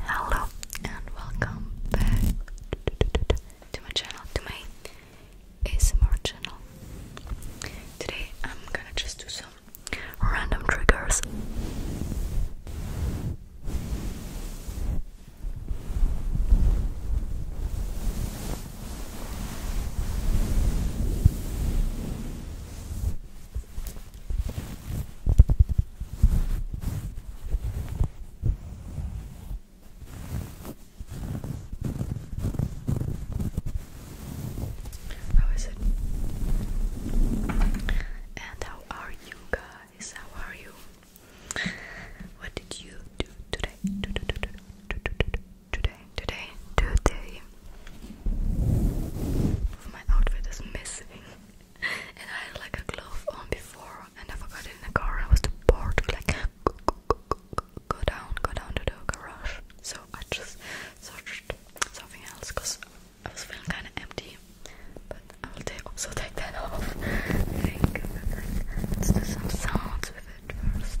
Hello and welcome back to my channel, to my ASMR channel. Today I'm gonna just do some random triggers. How is it? And how are you guys? How are you? What did you do today? Today, today, today. My outfit is missing. and I had like a glove on before and I forgot it in the car. I was bored like go, go, go, go, go down, go down to the garage. So I just searched something else because I was feeling kind of empty. But I will take also take that off. I some sounds with it first.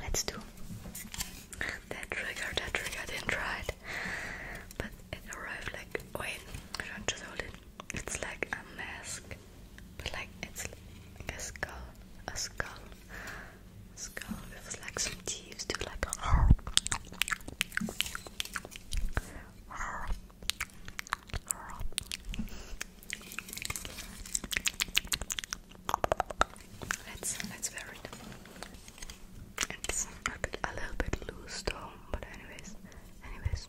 Let's do that trigger, that trigger I didn't try it. But it arrived like wait, I don't just hold it. It's like a mask. But like it's a skull. A skull. A skull with like some teeth to like Let's let's wear it. It's a little bit loose though, but anyways, anyways.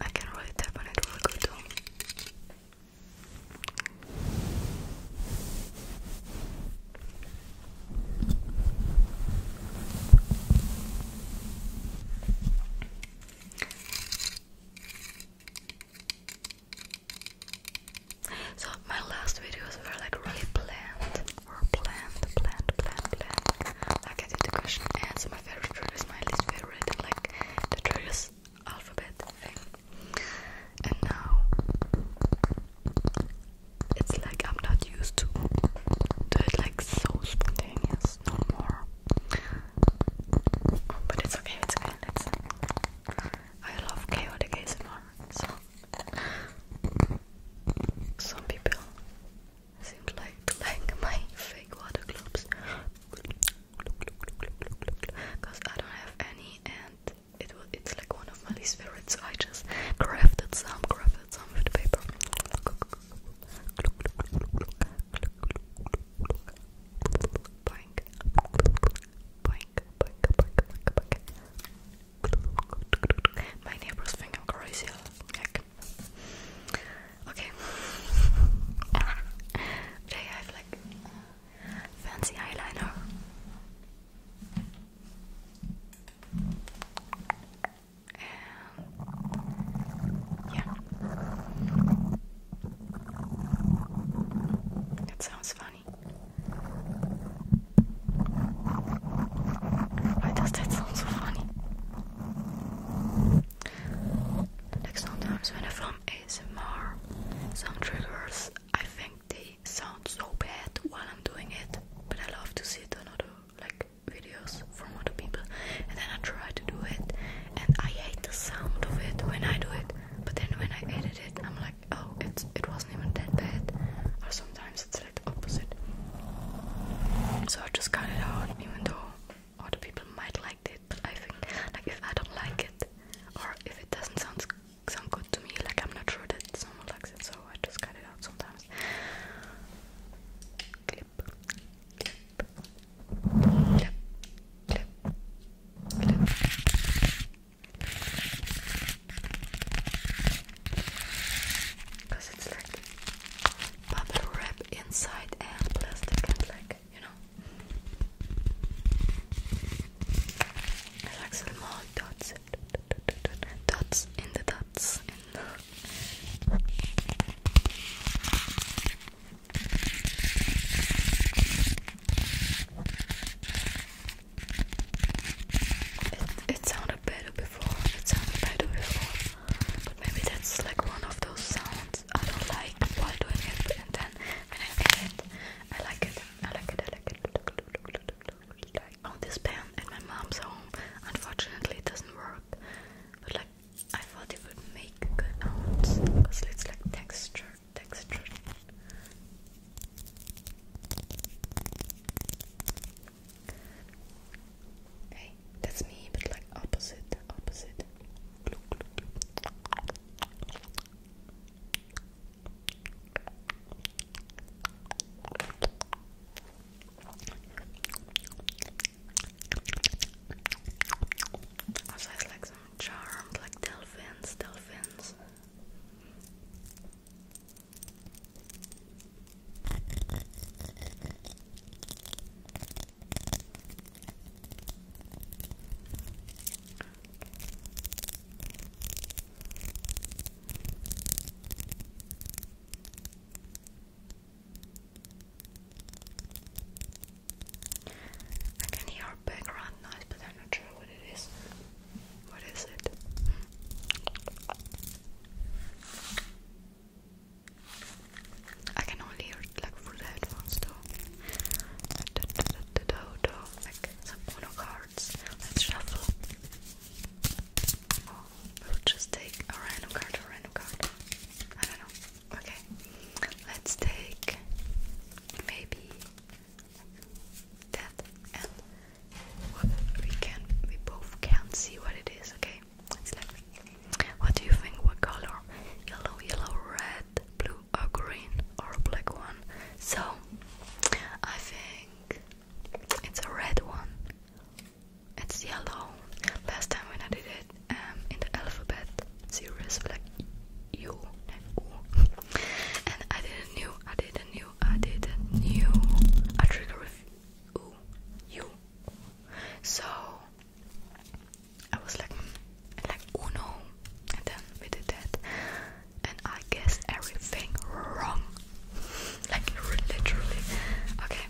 I can really tap on it really good too. So my last videos were like really planned or planned, planned, planned, planned. I get the question answer, my favorite triggers, my least favorite, like the triggers alphabet thing. And now it's like I'm not used to do it like so spontaneous no more. But it's okay, it's okay. Let's. I love chaotic ASMR, so some people seem to like my fake water globes because I don't have any and it will, it's like one of my least favorites so I just crafted some, crafted some with paper my neighbors think I'm crazy. Okay. Today I have like fancy eyeliner. yeah. That sounds fun. Why does that sound so funny? Like sometimes when I film ASMR, some triggers I think they sound so bad while I'm doing it, but I love to see it on other like videos from other people, and then I try to do it, and I hate the sound of it when I do it, but then when I edit it, I'm like oh, it's it wasn't even that bad. Or sometimes it's like the opposite. So I just cut it out, even though other people might like it. But I think, like, if I don't like it, or if it doesn't sound sound good to me, like I'm not sure that someone likes it, so I just cut it out sometimes. clip, clip, clip, clip, Cause it's like bubble wrap inside and plastic and like, you know. I like some more dots. Dots in the dots in the it, it sounded better before. It sounded better before. But maybe that's like one of those sounds I don't like while doing it, but, and then when I get it, I like it. I like it. I like it. Like, oh, this pen at my mom's home. Unfortunately, it doesn't work. But like, I thought it would make good sounds because it's like texture, texture. Hey, that's me, but like opposite, opposite. Also has like some charmed like dolphins, dolphins. I can hear background noise, but I'm not sure what it is. What is it? I can only hear it like through the headphones though. Like some mono cards. Let's shuffle. Oh, we'll just take a random card or random card. I don't know. Okay. Let's take maybe that and we can we both can't see what it is, okay? what do you think what color? Yellow, yellow, red, blue or green or black one. So I think it's a red one. It's yellow. Last time when I did it, um, in the alphabet series, like U, and I did a new, I did a I did a new a trigger with you. So I was like, mm, like oh no, and then we did that, and I guessed everything wrong, like literally. Okay,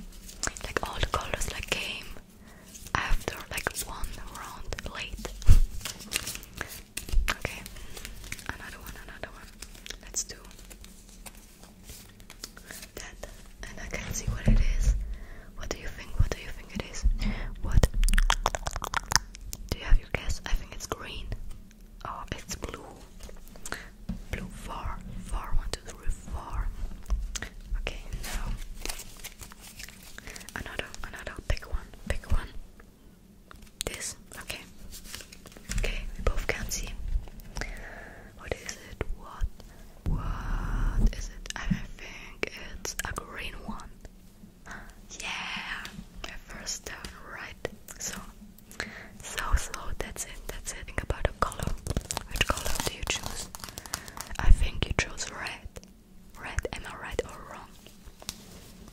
like all the colors like came after like one round late. Okay, another one, another one. Let's do that. And I can see what it is. What do you think? What do you think it is? What? Do you have your guess? I think it's green. Oh, it's blue. Blue four, four, one, two, three, four. Okay, now another, another. Pick one, pick one. This? Okay. Okay, we both can see. What is it? What? What is it? I think it's a green one. Yeah! My first down, right? So, so, so, that's it, that's it. Think about a color. Which color do you choose? I think you chose red. Red, am I right or wrong?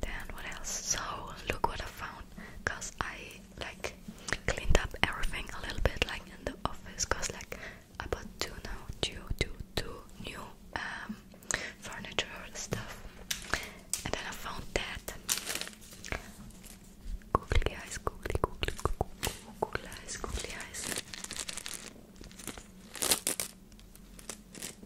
Then what else? So look what I found, cause I like cleaned up everything a little bit, like in the office, cause like I bought two now, two, two, two new um furniture stuff, and then I found that. Googly eyes, googly, googly, googly, eyes, googly eyes.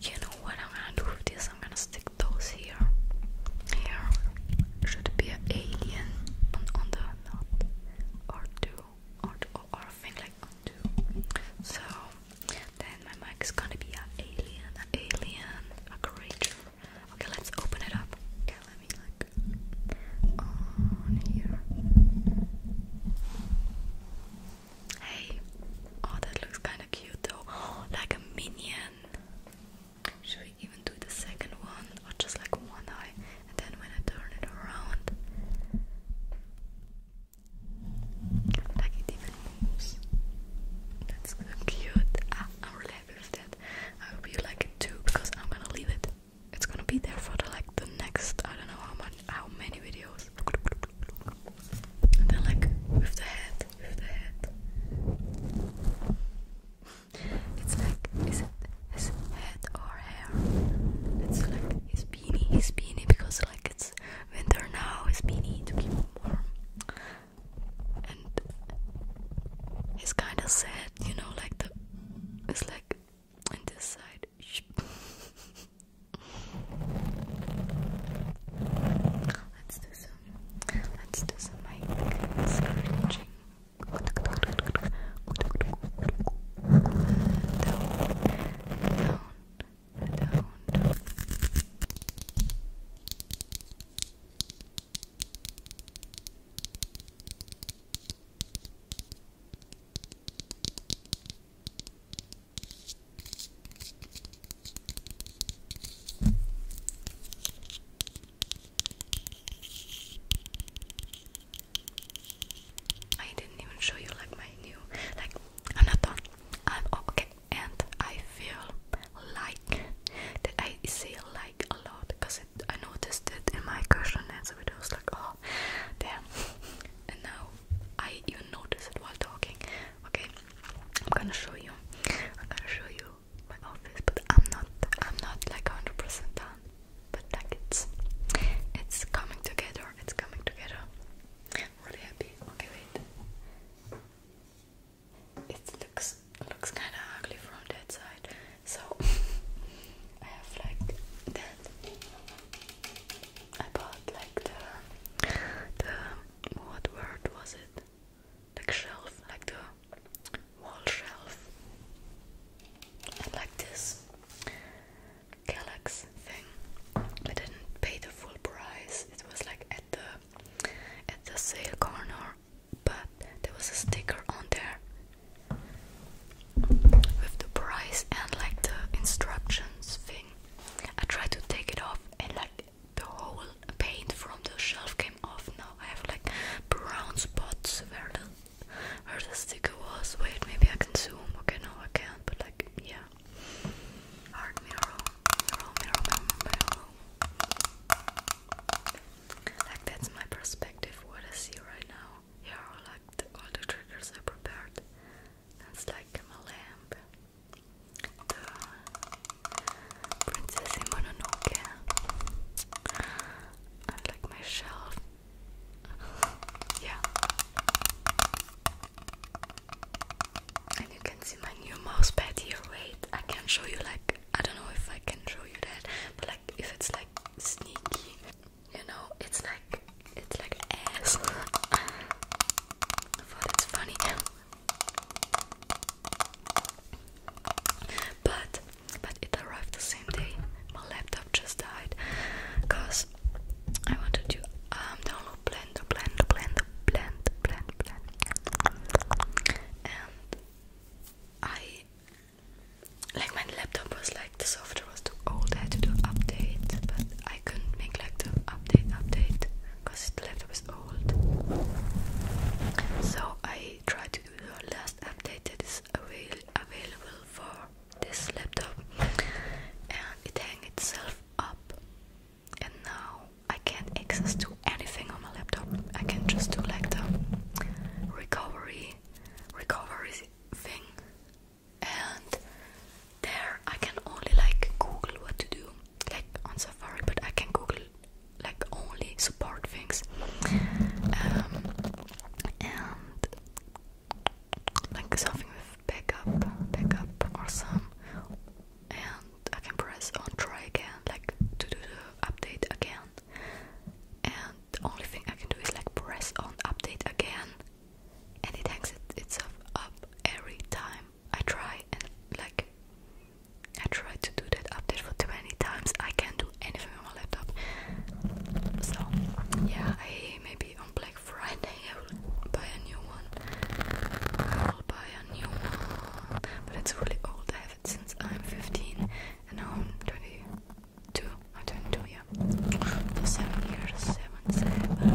You know what I'm gonna do with this? I'm gonna stick those here. Here should be an alien on, the or two or or, thing like two. So then my mic is gonna be an alien, an alien, a creature. Okay, let's open it up. Okay, let me like on here. Hey, oh, that looks kind of cute though. like a minion. Should we even do the second one or just like one eye? And then when I turn it around, like it even moves. That's cute. Ah, I'm really happy with that. I hope you like it too because I'm gonna leave it. It's gonna be there for like the next I don't know how much how many videos? then like with the head, with the head. It's like is it his head or hair? It's like his beanie, his beanie because like it's winter now, his beanie to keep warm. And he's kind of sad, you know, like the it's like on this side. Let's do some. Let's do some mic scratching. Down, down, down. Down, I didn't even show you like my new like I'm not done. I'm oh, okay and I feel like that I feel like a lot because I noticed it in my cushion. and so answer was like oh damn and now I even noticed it while talking. Okay, I'm gonna show you. I'm gonna show you my office, but I'm not. I'm not like hundred percent done. But like it's, it's coming together. It's coming together. I'm really happy. Okay, wait. It looks looks kind of ugly from that side. So I have like that. I about like the the what word was it? Like shelf, like the wall shelf, and like this Galax thing. I didn't pay the full price. It was like at the at the sale corner, but there was a sticker on there with the price and like the instructions thing. I tried to take it off and like the whole paint from the shelf came off now. I have like brown spots where the where the sticker was. Wait, maybe I can zoom. Okay, no, I can't. But like, yeah. Hard mirror, mirror, mirror, mirror, Like that's my perspective. What I see right now. Here like all the triggers I prepared. That's like my lamp the Princess in Mononoke. I like my shelf. yeah. And you can see my new mouse pad here. Wait, I can show you like I don't know if I can show you that, but like if it's like sneaky, you know, it's like it's like ass. I thought it's funny. But but it arrived the same day. My laptop just died because I wanted to um, download Blender, Blender, Blender, Blend, Blend, Blend, and I like my laptop was like the software was too old. I had to do update, but I couldn't make like the update update because the laptop is old. So I tried to do the last update that is avail available for this laptop, and it hanged itself up. And now I can't access to anything on my laptop. I can just do like the recovery recovery thing and there I can only like Google what to do like on Safari but I can Google like only support things um, and like something with backup backup or some and I can press on try again like to do the update again and the only thing I can do is like press on update again and it exits itself up every time I try and like I try to do that update for too many times. I can't do anything on my laptop. So yeah, I maybe on Black Friday I will buy a new one. I will buy a new one, but it's really old. I have it since I'm 15, and now I'm 22. I'm 22, yeah. seven years, seven, seven years.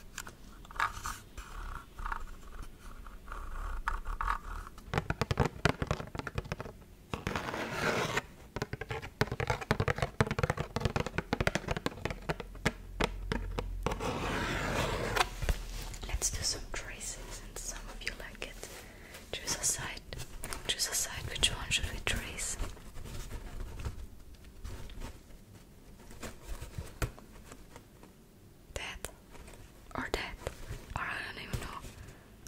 Let's do some tracing since some of you like it. Choose a side. Choose a side. Which one should we trace? That or that, or I don't even know.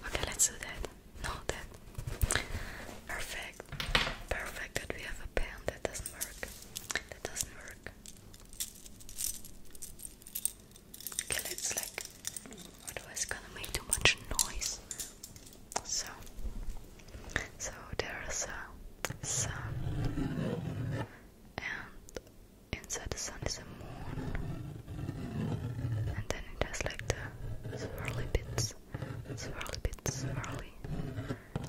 Okay, let's do that. No, that. Perfect. Perfect that we have a pen that doesn't work. That doesn't work. Okay, let's like. Otherwise, gonna make too much noise. So, so there's a sun, and inside the sun is a moon, and then it has like the swirly bits, swirly bits, swirly,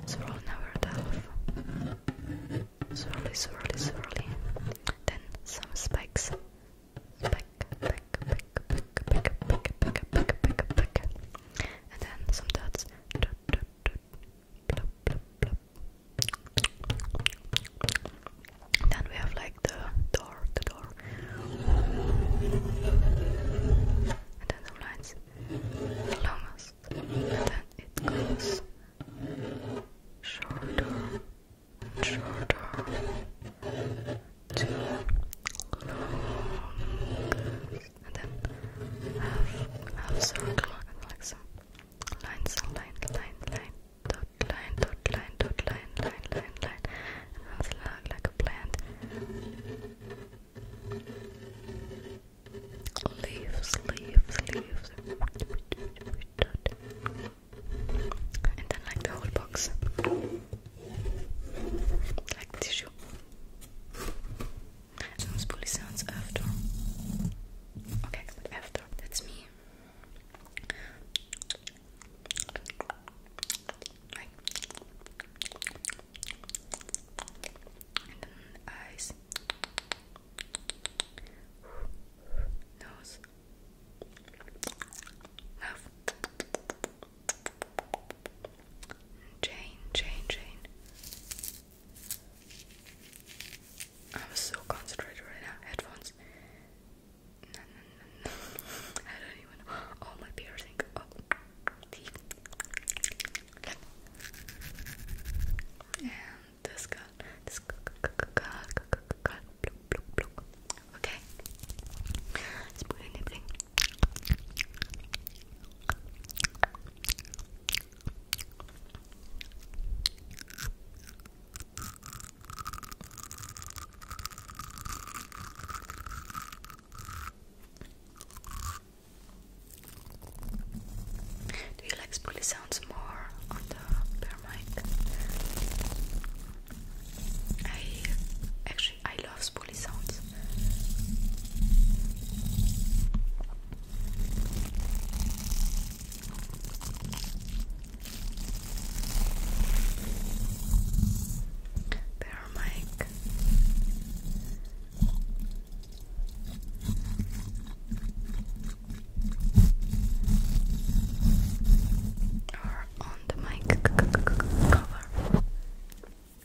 swirly never delve, swirly, swirly, swirly, then some spikes, spike, spike, spike, spike, spike, spike, spike, spike, spike, and then some dots, dot, then we have like the door, the door, and then the lights, the longest, and then it goes shorter, shorter, to longest and then half, half circle, and like some lines, line, line, line, dot, line, dot, line, dot, line, line, line, line, and that's like a plant. Leaves, leaves, leaves, and then like the whole box, like tissue sounds bully sounds after. Okay, after. That's me. eyes. Nose. Mouth. Chain, chain, chain. I'm so concentrated right now. Headphones. No, no, no, no. I don't even know. Oh, my piercing. Oh, And this got this got Okay. Let's do you like spoolie sounds more on the bear mic? I actually I love spoolie sounds. There, Mike. Or on the mic cover.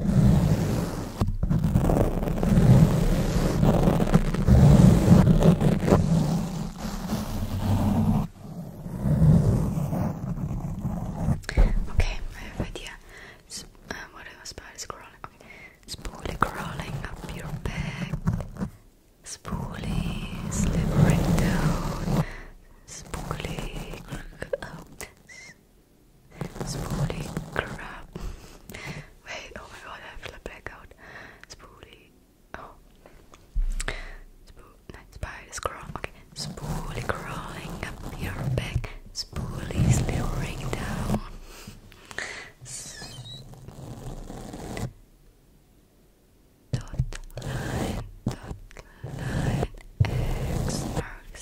Okay, I have an idea. Um, what it was about is crawling. Okay. crawling up your back. Spoolie slithering down. Spoolie. Oh, Spooky crap. Wait, oh my god, I have a blackout. Spoolie. Oh. Spool. Night spider crawl. Okay. Spoolie crawling up your back. Spoolie slithering down. Dot line, dot line, X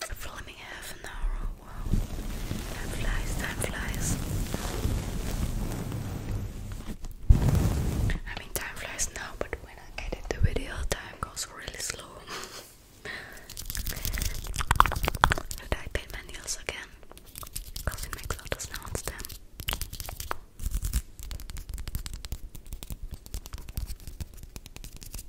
Filming half an hour. Wow. Time flies, time flies. I mean, time flies now, but when I edit the video, time goes really slow. Did I paint my nails again? Because it makes all the sounds then.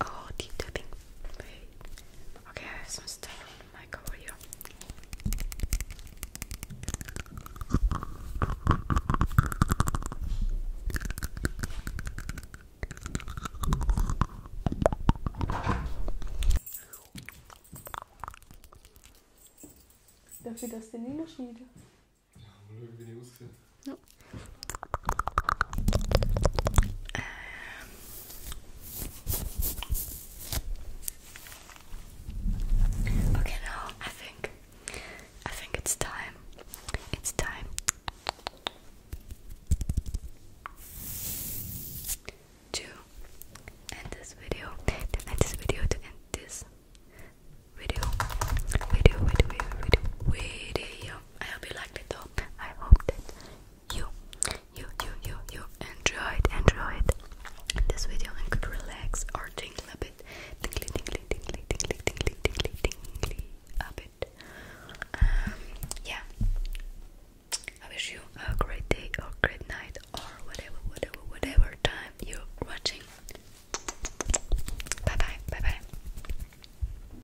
Oh, deep tapping. Okay, I have some stuff on the mic over here. Dafür, dass der Nino schmiede. Um, no. okay, now I think I think it's time. It's time. To end this video, to end this video, to end this video, video, video, video, video, video, video. I hope you liked it though. I hope that you, you, you, you, you enjoyed, enjoyed this video and could relax or tingle a bit. Tingly, tingly, tingly, tingly, tingly, tingly, tingly a bit. Um, yeah. I wish you a great day or great night or whatever, whatever, whatever time you're watching. Bye bye, bye bye.